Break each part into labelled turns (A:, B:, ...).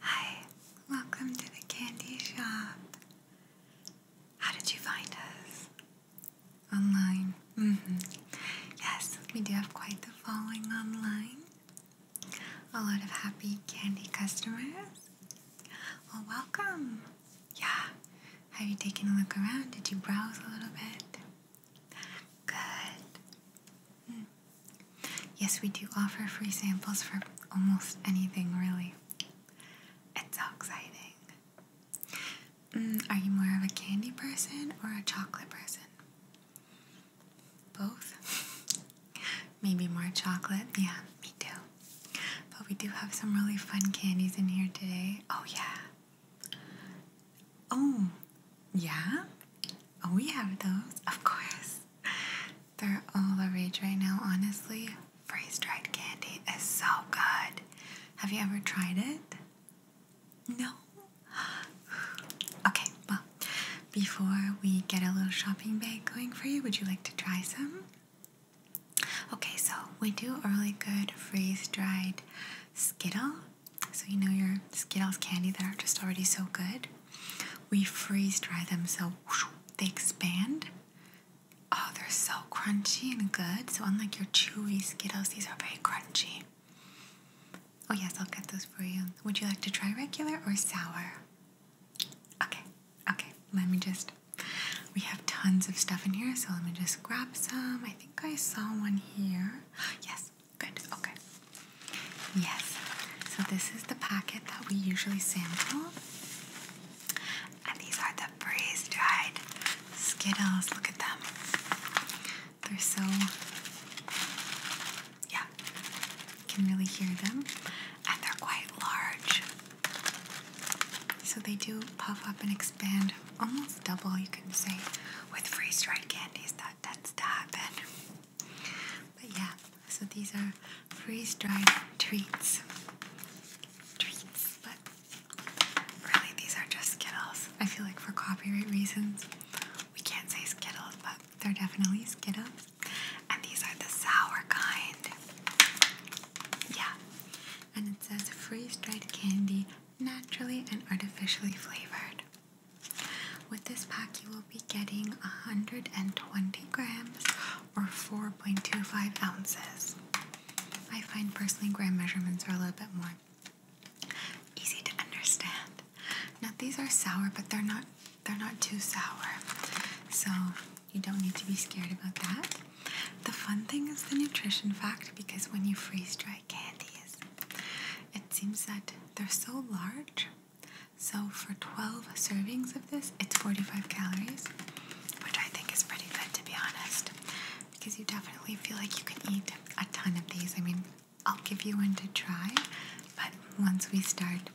A: Hi, welcome to the candy shop. How did you find us? Online. Mm hmm Yes, we do have quite the following online. A lot of happy candy customers. Well, welcome. Yeah. Have you taken a look around? Did you browse a little bit? Good. Mm. Yes, we do offer free samples for almost anything, really. It's so exciting. Mm, are you more of a candy person or a chocolate person? Both? Maybe more chocolate? Yeah, me too. But we do have some really fun candies in here today. Oh, yeah. Oh, yeah? Oh, we have those, of course. They're all the rage right now, honestly. Freeze dried candy is so good. Have you ever tried it? No? Okay, well, before we get a little shopping bag going for you, would you like to try some? Okay, so we do a really good freeze dried Skittle. So, you know, your Skittles candy that are just already so good. We freeze dry them so they expand. Oh, they're so crunchy and good. So, unlike your chewy Skittles, these are very crunchy. Oh, yes, I'll get those for you. Would you like to try regular or sour? Okay, okay, let me just. We have tons of stuff in here, so let me just grab some. I think I saw one here. Yes, Good, okay. Yes, so this is the packet that we usually sample. And these are the freeze dried Skittles. Look at them. They're so, yeah, you can really hear them. And they're quite large. So they do puff up and expand almost double, you can see with freeze dried candies. That tends to happen. But yeah, so these are freeze dried treats. Treats, but really these are just Skittles. I feel like for copyright reasons, we can't say Skittles, but they're definitely Skittles. And these are the sour kind. Yeah. And it says freeze dried candy, naturally and artificially flavored. With this pack, you will be getting 120 grams or 4.25 ounces. I find personally gram measurements are a little bit more easy to understand. Now these are sour, but they're not they're not too sour. So you don't need to be scared about that. The fun thing is the nutrition fact because when you freeze dry candies, it seems that they're so large so for 12 servings of this, it's 45 calories, which I think is pretty good to be honest, because you definitely feel like you can eat a ton of these. I mean, I'll give you one to try, but once we start,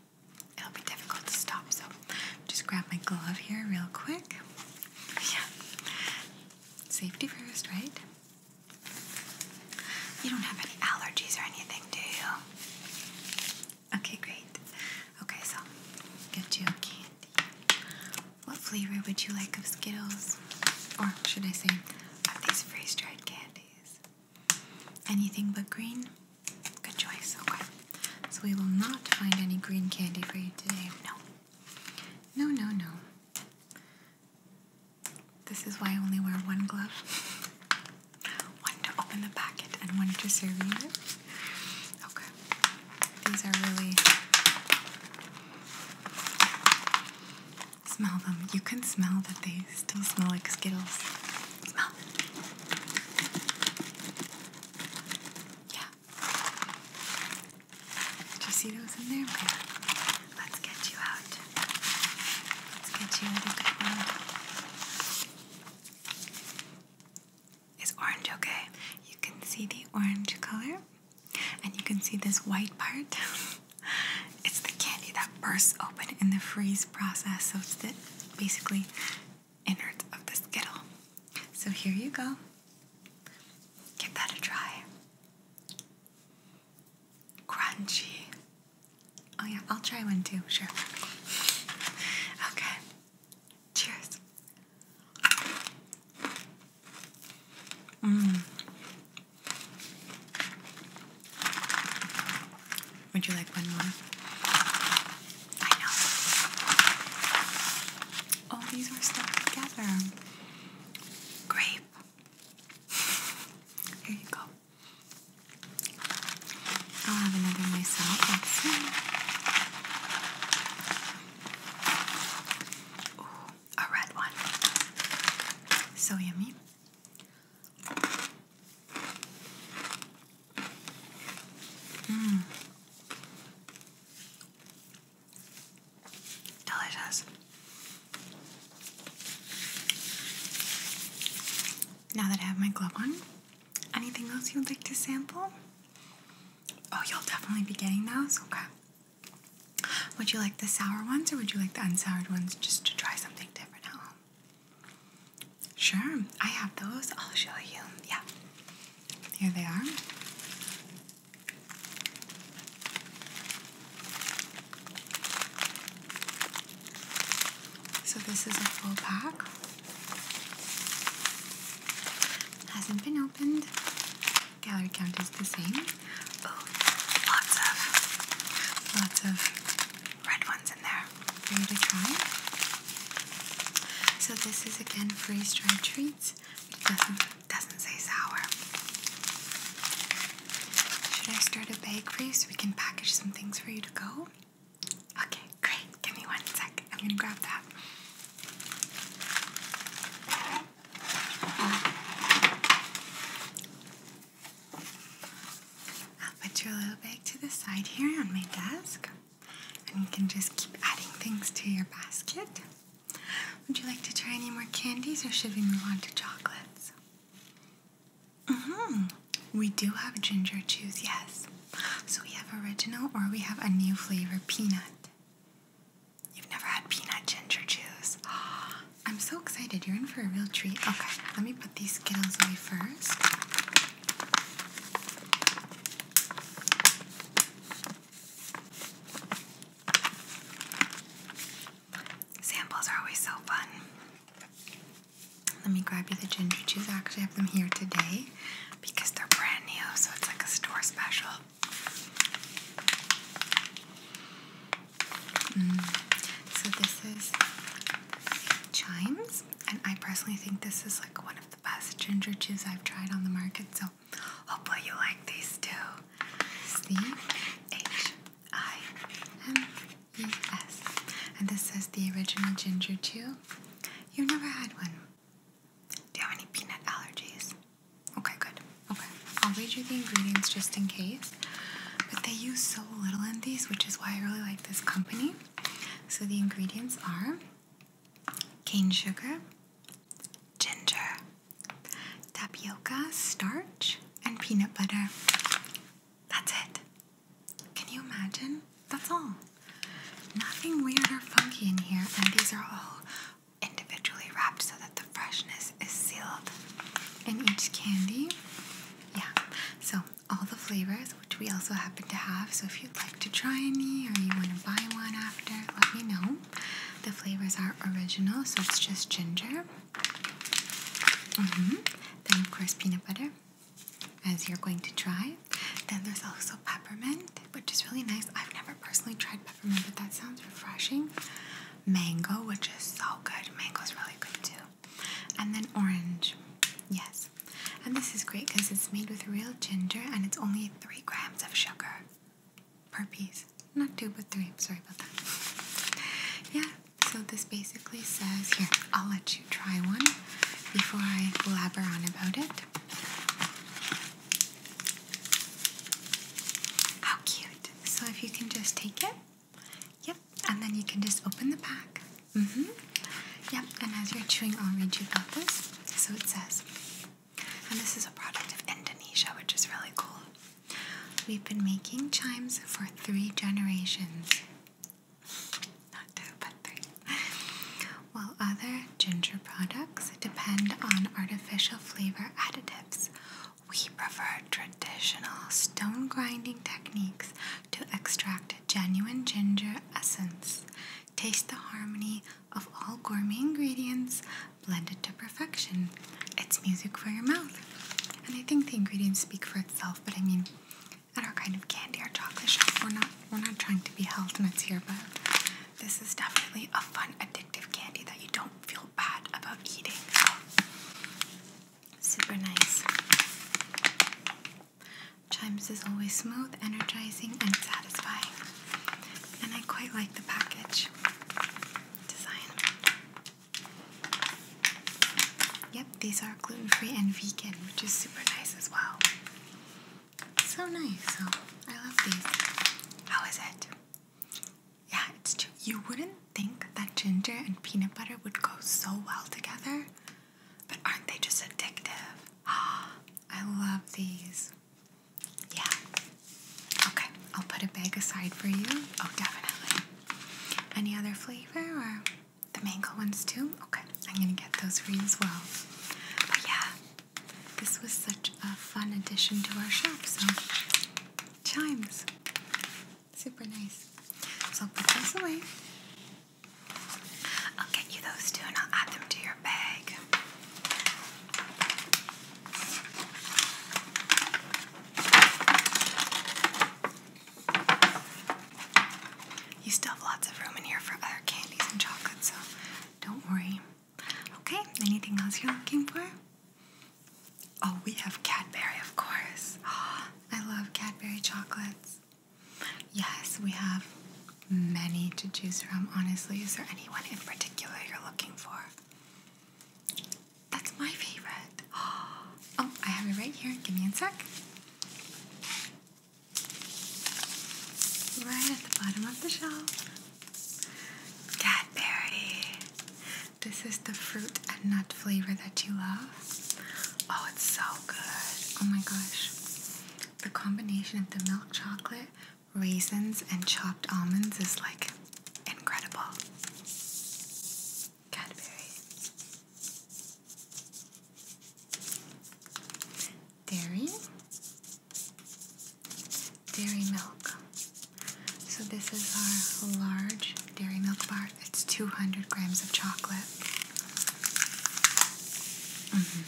A: it'll be difficult to stop. So just grab my glove here real quick. Yeah. Safety first, right? You don't have any allergies or anything, do you? Okay, great. Okay, so get you candy. What flavor would you like of Skittles? Or should I say, of these freeze dried candies? Anything but green? Good choice, okay. So we will not find any green candy for you today. No. No, no, no. This is why I only wear one glove. one to open the packet and one to serve you. Okay. These are really smell them. You can smell that they still smell like Skittles. Yeah. Do you see those in there? Yeah. Let's get you out. It's us get you a good one. orange okay? You can see the orange color, and you can see this white part. it's the candy that bursts open in the freeze process, so it's the basically innards of the Skittle. So here you go. Give that a try. Crunchy, Oh, yeah, I'll try one too, sure. Okay, cheers. Mmm. Would you like one more? I know. Oh, these are stuck together. Grape. Here you go. I'll have another myself like soon. Ooh, a red one. So yummy. Mmm. Delicious. Now that I have my glove on, anything else you'd like to sample? Oh, you'll definitely be getting those? Okay. Would you like the sour ones or would you like the unsoured ones just to try something different at home? Sure, I have those. I'll show you. Yeah. Here they are. So this is a full pack. Hasn't been opened. Gallery count is the same. Oh, lots of, lots of red ones in there for to try. So this is again freeze dried treats. doesn't doesn't say sour. Should I start a bakery so we can package some things for you to go? Okay, great. Give me one sec. I'm gonna grab that. I'll put your little bag to the side here on my desk. And you can just keep adding things to your basket. Would you like to try any more candies or should we move on to chocolates? Mm-hmm. We do have ginger juice, yes. So we have original or we have a new flavor, peanut. You've never had peanut ginger juice. I'm so excited. You're in for a real treat. Okay, let me put these Skittles away first. Samples are always so fun. Let me grab you the ginger chews. I actually have them here today because they're brand new, so it's like a store special. Mm. So this is Chimes, and I personally think this is like one of the best ginger chews I've tried on the market. So hopefully you like these too. C H I M E S. And this says the original ginger chew. You've never had one. Do you have any peanut allergies? Okay, good. Okay. I'll read you the ingredients just in case. But they use so little in these, which is why I really like this company. So the ingredients are cane sugar, ginger, tapioca starch, and peanut butter. That's it. Can you imagine? That's all. Nothing weird or funky in here, and these are all individually wrapped so that the freshness is sealed in each candy. Yeah, so all the flavors, which we also happen to have, so if you'd like to try any or you want to buy one after, let me know. The flavors are original, so it's just ginger, Mm-hmm. Then, of course, peanut butter, as you're going to try. Then there's also peppermint, which is really nice. I've never personally tried peppermint, but that sounds refreshing. Mango, which is so good. Mango is really good too. And then orange, yes. And this is great because it's made with real ginger and it's only three grams of sugar per piece. Not two, but three. Sorry about that. Yeah, so this basically says here, I'll let you try one before I blabber on about it. How cute. So if you can just take it. Yep, and then you can just open the pack. Mm-hmm. Yep, and as you're chewing, I'll read you about this. So it says, and this is a product of Indonesia, which is really cool. We've been making chimes for three generations. Not two, but three. While other ginger products depend on artificial flavor additives, we prefer traditional stone grinding techniques to extract genuine ginger essence. Taste the harmony of all gourmet ingredients blended to perfection. It's music for your mouth. And I think the ingredients speak for itself but I mean, at our kind of candy or chocolate shop, we're not we're not trying to be health nuts here, but this is definitely a fun, addictive candy that you don't feel bad about eating. Super nice. Chimes is always smooth, energizing, and satisfying. And I quite like the package design. Yep, these are gluten free and vegan, which is super nice as well. So nice. So I love these. How is it? Yeah, it's You wouldn't think that ginger and peanut butter would go so well together, but aren't they just addictive? Ah, I love these. Yeah. Okay, I'll put a bag aside for you. Oh, definitely. Any other flavor the mango ones too? Okay, I'm gonna get those for you as well. But yeah, this was such a fun addition to our shop, so chimes. Super nice. So I'll put those away. I'll get you those two and I'll add them to your bag. You still have lots of room in here for other candies and chocolates, so don't worry. Okay, anything else you're looking for? Oh, we have Cadbury, of course. I love Cadbury chocolates. Yes, we have many to choose from, honestly. Is there anyone in particular you're looking for? That's my favorite. Oh, I have it right here. Give me a sec. Right at the bottom of the shelf. Cadbury. This is the fruit and nut flavor that you love. Oh, it's so good. Oh my gosh. The combination of the milk chocolate, raisins, and chopped almonds is like incredible. Cadbury. Dairy. Dairy milk. So this is our large dairy milk bar. It's 200 grams of chocolate. -hmm.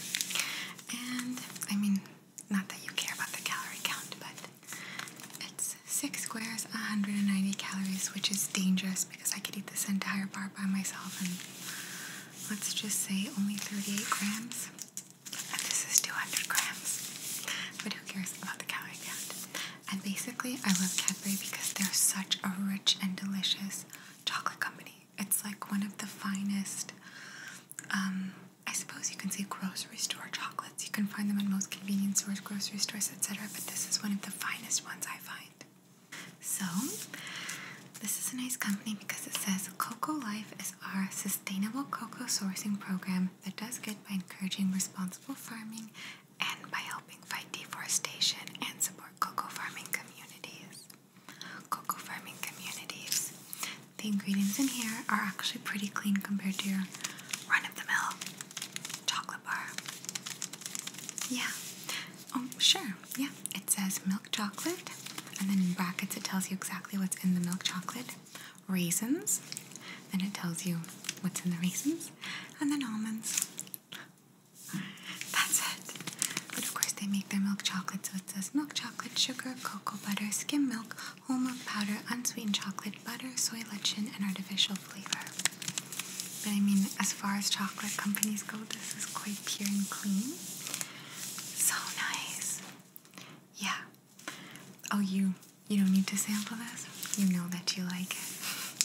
A: And I mean, not that you care about the calorie count, but it's Six squares, 190 calories, which is dangerous because I could eat this entire bar by myself and let's just say only 38 grams. And this is 200 grams. But who cares about the calorie count? And basically, I love Cadbury because they're such a rich and delicious chocolate company. It's like one of the finest, um, I suppose you can say grocery store chocolates. You can find them in most convenience stores, grocery stores, etc. But this is one of the finest ones I find. So, this is a nice company because it says Cocoa Life is our sustainable cocoa sourcing program that does good by encouraging responsible farming and by helping fight deforestation and support cocoa farming communities. Cocoa farming communities. The ingredients in here are actually pretty clean compared to your run of the mill chocolate. Yeah. Oh, sure. Yeah. It says milk chocolate, and then in brackets it tells you exactly what's in the milk chocolate. Raisins, then it tells you what's in the raisins, and then almonds. That's it. But of course, they make their milk chocolate, so it says milk chocolate, sugar, cocoa butter, skim milk, whole milk powder, unsweetened chocolate, butter, soy lecithin, and artificial flavor. But I mean, as far as chocolate companies go, this is quite pure and clean. So nice. Yeah. Oh, you you don't need to sample this. You know that you like it.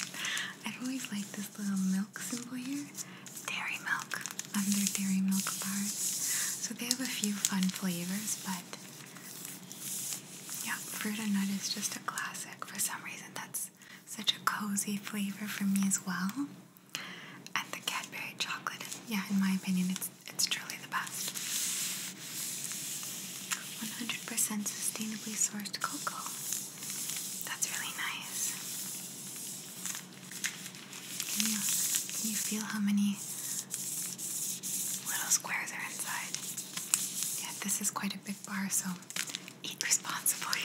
A: I've always liked this little milk symbol here. Dairy milk Under dairy milk bars. So they have a few fun flavors, but yeah, fruit and nut is just a classic. For some reason, that's such a cozy flavor for me as well. And the Cadbury chocolate yeah, in my opinion, it's it's truly the best. 100% sustainably sourced cocoa. That's really nice. Can you, can you feel how many little squares are inside? Yeah, this is quite a big bar, so eat responsibly.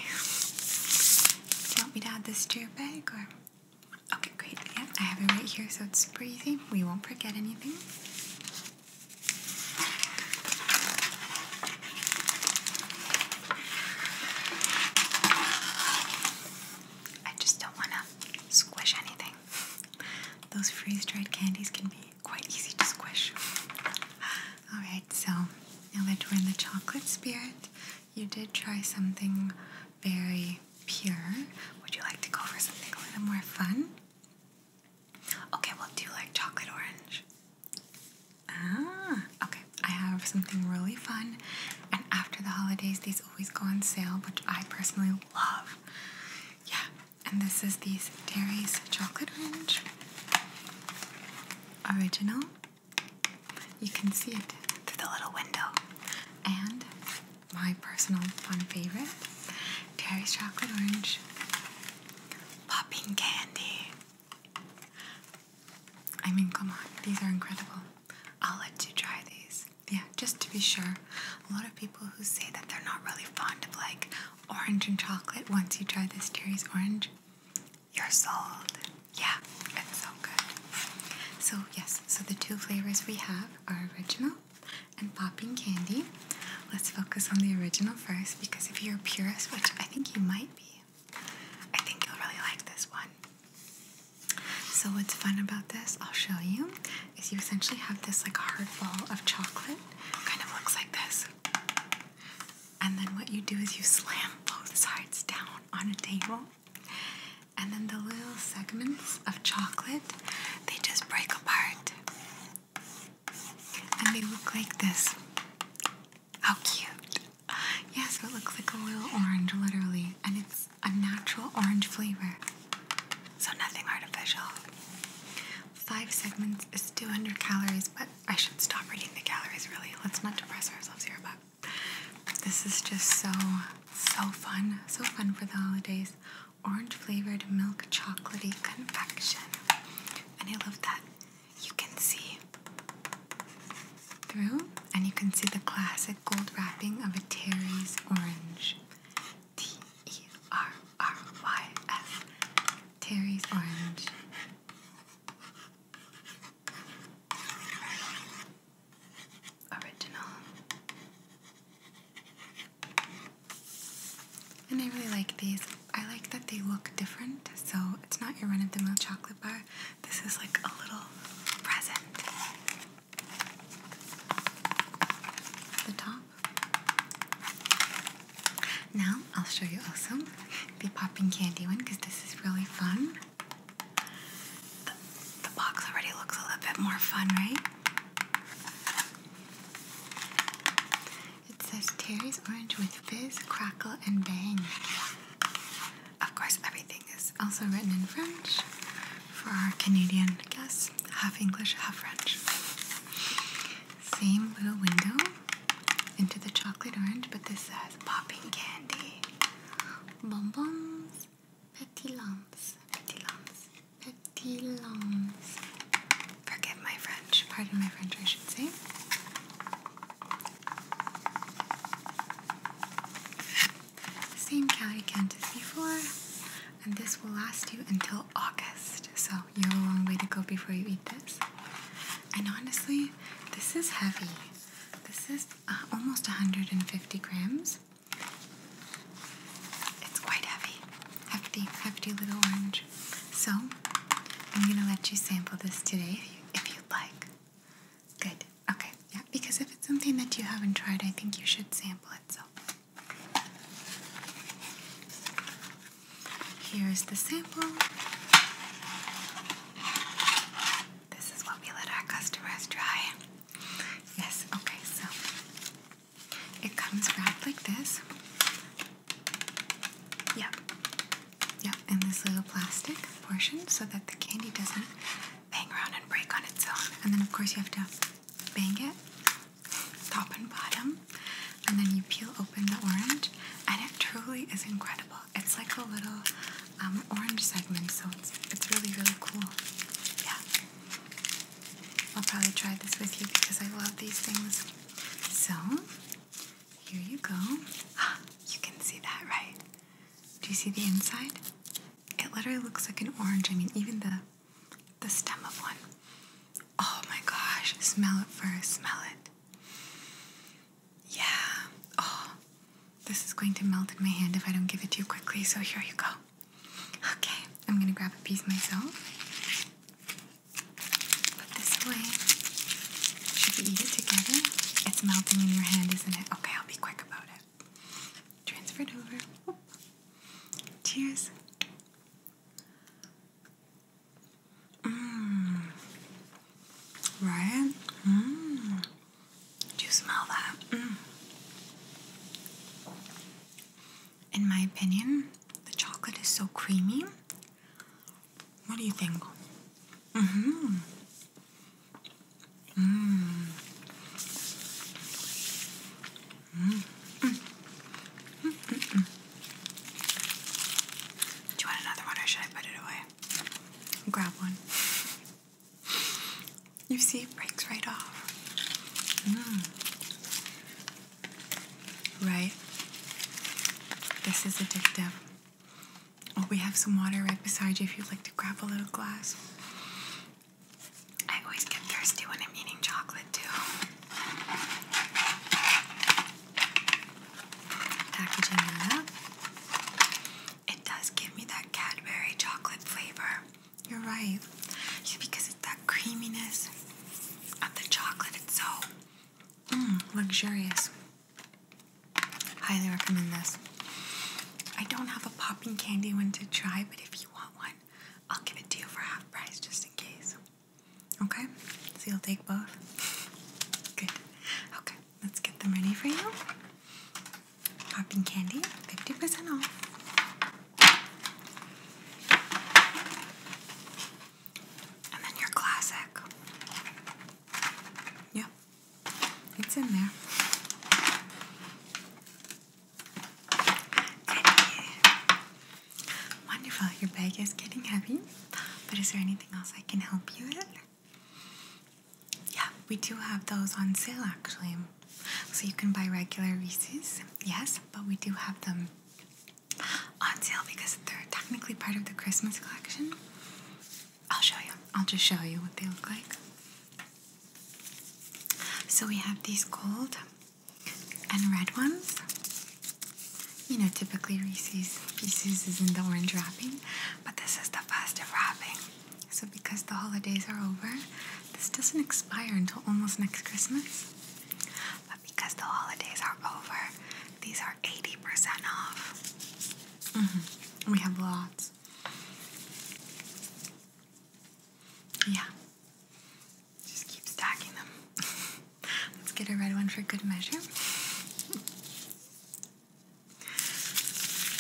A: Do you want me to add this to your bag or? Okay, great. Yeah, I have it right here, so it's super easy. We won't forget anything. I just don't want to squish anything. Those freeze dried candies can be quite easy to squish. Alright, so now that we're in the chocolate spirit, you did try something very pure. Would you like to go for something a little more fun? Okay, well, do you like chocolate orange? Ah, okay. I have something really fun, and after the holidays, these always go on sale, which I personally love. Yeah, and this is the Terry's Chocolate Orange Original. You can see it through the little window. And my personal fun favorite, Terry's Chocolate Orange Popping Candy. I mean, come on, these are incredible. I'll let you try these. Yeah, just to be sure, a lot of people who say that they're not really fond of like orange and chocolate. Once you try this Terry's orange, you're sold. Yeah, it's so good. So, yes, so the two flavors we have are original and popping candy. Let's focus on the original first because if you're a purist, which I think you might be, I think you'll really like this one. So, what's fun about this, I'll show you, is you essentially have this like hard ball of chocolate. Kind of looks like this. And then what you do is you slam both sides down on a table. And then the little segments of chocolate, they just break apart. And they look like this. How cute. Yeah, so it looks like a little orange, literally. And it's a natural orange flavor. So nothing artificial. Five segments is 200 calories, but I should stop reading the calories, really. Let's not depress ourselves here, but this is just so, so fun. So fun for the holidays. Orange flavored milk chocolatey confection. And I love that you can see through and you can see the classic gold wrapping of a Terry's orange. T E R R Y S Terry's orange. Original. And I really like these. I like that they look different, so it's not your run of the mill chocolate bar. This is like a little present. The top now I'll show you also the popping candy one because this is really fun. The, box already looks a little bit more fun, right? It says Terry's Orange with Fizz, Crackle, and Bang. Of course, everything is also written in French for our Canadian guests, half English, half French. Same little window into the chocolate orange, but this has popping candy. Bonbons, petit lumps, petit lumps, petit lumps. Forgive my French, pardon my French, I should say. Same calorie count as before, and this will last you until August. So you have a long way to go before you eat this. And honestly, this is heavy. This is uh, almost 150 grams. It's quite heavy. Hefty, hefty little orange. So, I'm gonna let you sample this today if, you, if you'd like. Good, okay, yeah, because if it's something that you haven't tried, I think you should sample it, so. Here's the sample. This is what we let our customers try. Yes, okay, so it comes wrapped like this. Yep. Yep, in this little plastic portion so that the candy doesn't bang around and break on its own. And then, of course, you have to bang it top and bottom and then you peel open the orange, and it truly is incredible. It's like a little um, orange segment, so it's it's really really cool. Yeah, I'll probably try this with you because I love these things. So here you go. you can see that, right? Do you see the inside? It literally looks like an orange. I mean, even the the stem of one. Oh my gosh, smell it first, smell it. Yeah. Oh, this is going to melt in my hand if I don't give it to you quickly, so here you go. Okay, I'm gonna grab a piece myself. Put this away. Should we eat it together? It's melting in your hand, isn't it? Okay, I'll be quick about it. Transfer it over. Cheers. Mm. Right? Mm. Do you smell that? Mm. In my opinion, the chocolate is so creamy. What do you think? Mm-hmm. Mm. Mm. Mm. Mm. Do you want another one or should I put it away? grab one. You see, it breaks right off. Mm. Right? This is addictive. Oh, we have some water right beside you if you'd like to grab a little glass. I always get thirsty when I'm eating chocolate, too. Packaging it It does give me that Cadbury chocolate flavor. You're right. Yeah, because it's that creaminess of the chocolate. It's so mm, luxurious. Highly recommend this. I don't have a popping candy one to try, but if you want one, I'll give it to you for half price just in case. Okay, so you'll take both? Good. Okay, let's get them ready for you. Popping candy, 50% off. And then your classic. Yep, it's in there. Goodie. Wonderful, your bag is getting heavy, but is there anything else I can help you with? Yeah, we do have those on sale actually. So you can buy regular Reese's, yes, but we do have them on sale because they're technically part of the Christmas collection. I'll show you. I'll just show you what they look like. So we have these gold and red ones. You know, typically Reese's Pieces is in the orange wrapping, but this is the festive wrapping. So, because the holidays are over, this doesn't expire until almost next Christmas. But because the holidays are over, these are 80% off. Mm-hmm. We have lots. Yeah. Just keep stacking them. Let's get a red one for good measure.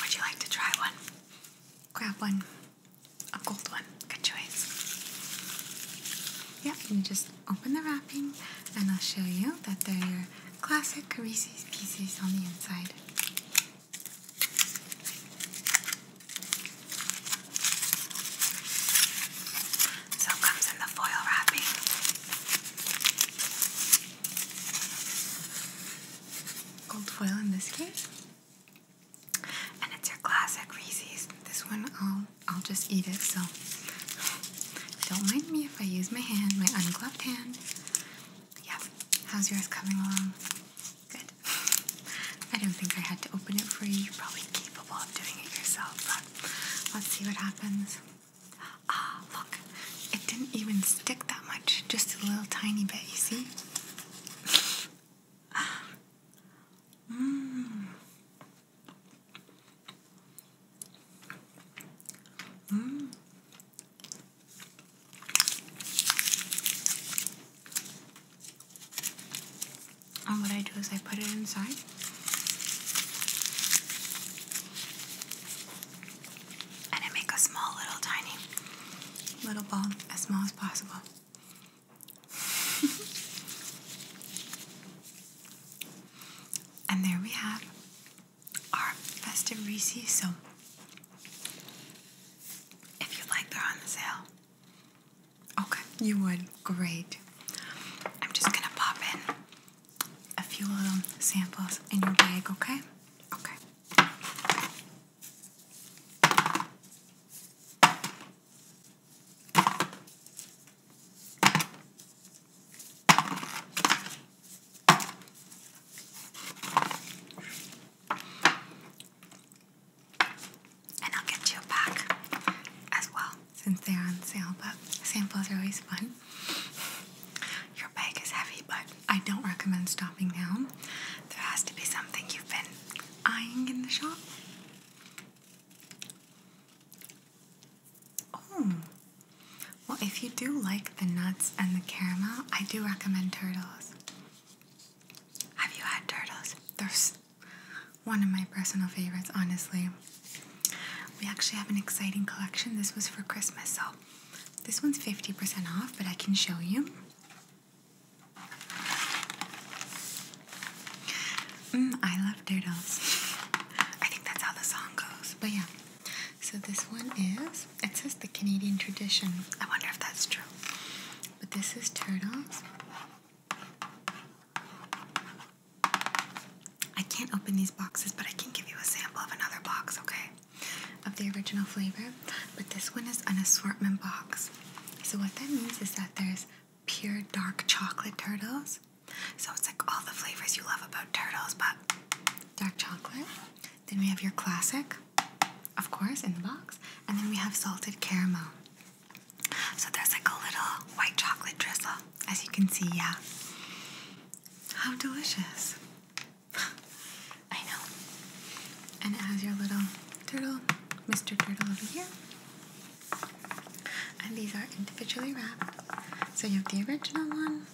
A: Would you like to try one? Grab one. A gold one. Good choice. Yeah, you just open the wrapping and I'll show you that they're your classic Carisi Pieces on the inside. So it comes in the foil wrapping. Gold foil in this case. And it's your classic Reese's. This one I'll I'll just eat it, so don't mind me if I use my hand, my ungloved hand. Yes. How's yours coming along? Good. I don't think I had to open it for you. You're probably capable of doing it yourself, Let's see what happens. Ah, look, it didn't even stick that much, just a little tiny bit, you see? Mmm. Mmm. And what I do is I put it inside. And I make a small little tiny little ball, as small as possible. and there we have our festive Reese's. So if you like, they're on the sale. Okay, you would. Great. I'm just gonna pop in a few little samples in your bag, okay? Okay. And I'll get you a as well since they're on sale, but samples are always fun. Your bag is heavy, but I don't recommend stopping now. There has to be something you've been eyeing in the shop. Oh, well, if you do like the nuts and the caramel, I do recommend turtles. Have you had turtles? They're one of my personal favorites, honestly. We actually have an exciting collection. This was for Christmas, so this one's 50% off, but I can show you. Mm, I love turtles. I think that's how the song goes, but yeah. So this one is, it says the Canadian tradition. I wonder if that's true. But this is turtles. I can't open these boxes, but I can give you a sample of another box, okay? Of the original flavor. But this one is an assortment box. So, what that means is that there's pure dark chocolate turtles. So, it's like all the flavors you love about turtles, but dark chocolate. Then we have your classic, of course, in the box. And then we have salted caramel. So there's like a little white chocolate drizzle, as you can see, yeah. How delicious. I know. And it has your little turtle, Mr. Turtle over here. And these are individually wrapped. So you have the original one,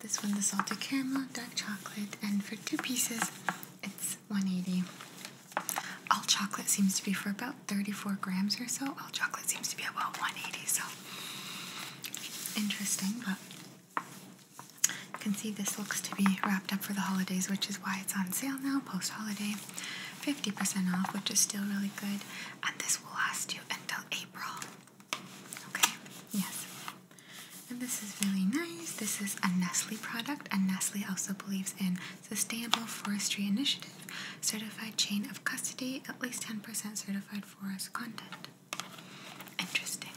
A: this one the salted caramel, dark chocolate, and for two pieces it's 180. All chocolate seems to be for about 34 grams or so. All well, chocolate seems to be about 180, so interesting. But you can see this looks to be wrapped up for the holidays, which is why it's on sale now post holiday. 50% off, which is still really good. And this will last you until April. Okay, yes. And this is really nice. This is a Nestle product, and Nestle also believes in sustainable forestry initiative, Certified chain of custody, at least 10% certified forest content. Interesting.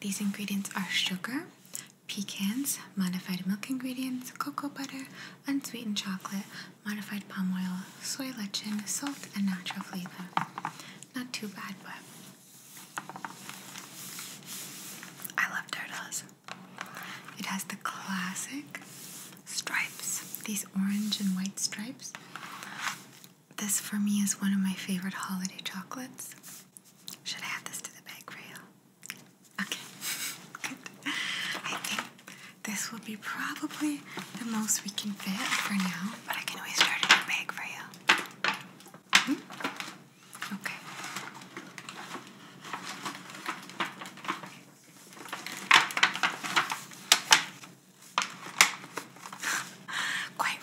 A: These ingredients are sugar, pecans, modified milk ingredients, cocoa butter, unsweetened chocolate, modified palm oil, soy lecithin, salt, and natural flavor. Not too bad, but I love turtles. It has the classic stripes, these orange and white stripes. This for me is one of my favorite holiday chocolates. Should I add this to the bag for you? Okay, good. I think this will be probably the most we can fit for now, but I can always start a new bag for you. Hmm? Okay. Quite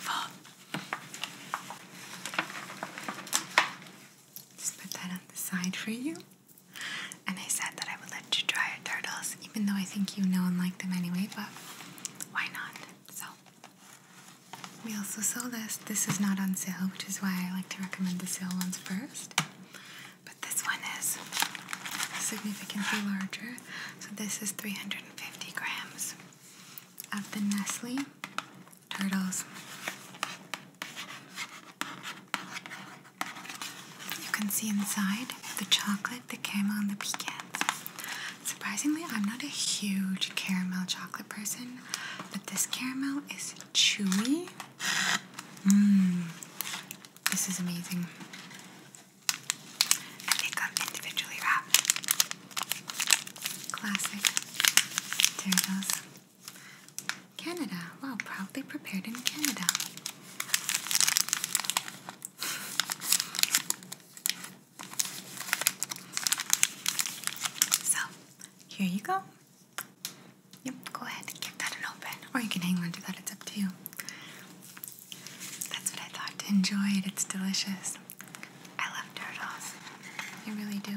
A: Just put that on the side for you. And I said that I would let you try turtles, even though I think you know and like them anyway, but why not? So, we also saw this. This is not on sale, which is why I like to recommend the sale ones first. But this one is significantly larger. So this is 350 grams of the Nestle turtles. You can see inside the chocolate, the caramel, and the pecans. Surprisingly, I'm not a huge caramel chocolate person, but this caramel is chewy. Mmm, this is amazing. they come individually wrapped. Classic Doritos. Canada. Well, proudly prepared in Canada. So, here you go. Yep, go ahead and give that an open. Or you can hang on to that, it's up to you. That's what I thought. Enjoy it, it's delicious. I love turtles. You really do.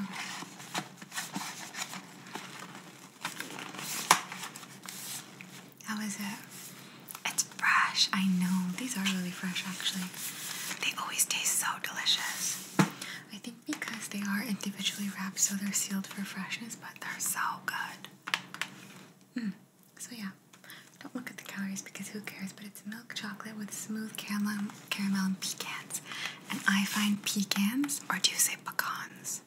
A: How is it? It's fresh, I know. These are really fresh actually. They always taste so delicious. I think because they are individually wrapped, so they're sealed for freshness, but they're so so oh, good. Hmm. So yeah, don't look at the calories because who cares? But it's milk chocolate with smooth caramel, caramel and pecans. And I find pecans, or do you say pecans?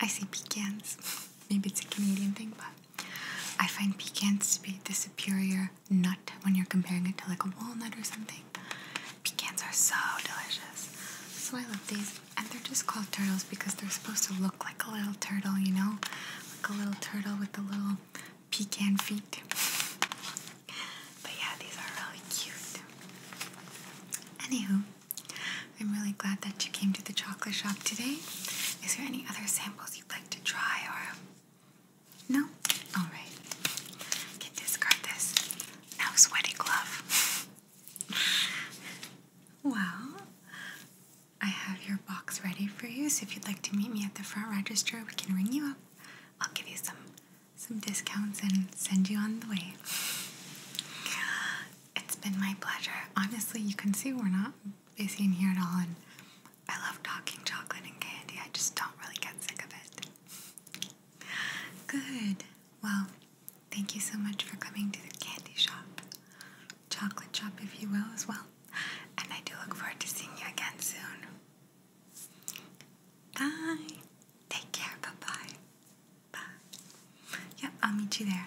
A: I say pecans. Maybe it's a Canadian thing, but I find pecans to be the superior nut when you're comparing it to like a walnut or something. Pecans are so delicious. So I love these. And they're just called turtles because they're supposed to look like a little turtle, you know? Like a little turtle with the little pecan feet. But yeah, these are really cute. Anywho, I'm really glad that you came to the chocolate shop today. Is there any other samples you'd like to try or no? Alright. Can discard this. Now sweaty glove well, I have your box ready for you, so if you'd like to meet me at the front register, we can ring you up. I'll give you some some discounts and send you on the way. It's been my pleasure. Honestly, you can see we're not busy in here at all, and I love talking chocolate and candy. I just don't really get sick of it. Good. Well, Thank you so much for coming to the candy shop, chocolate shop, if you will, as well. And I do look forward to seeing you again soon. Bye. Take care. Bye bye. Bye. Yep, I'll meet you there.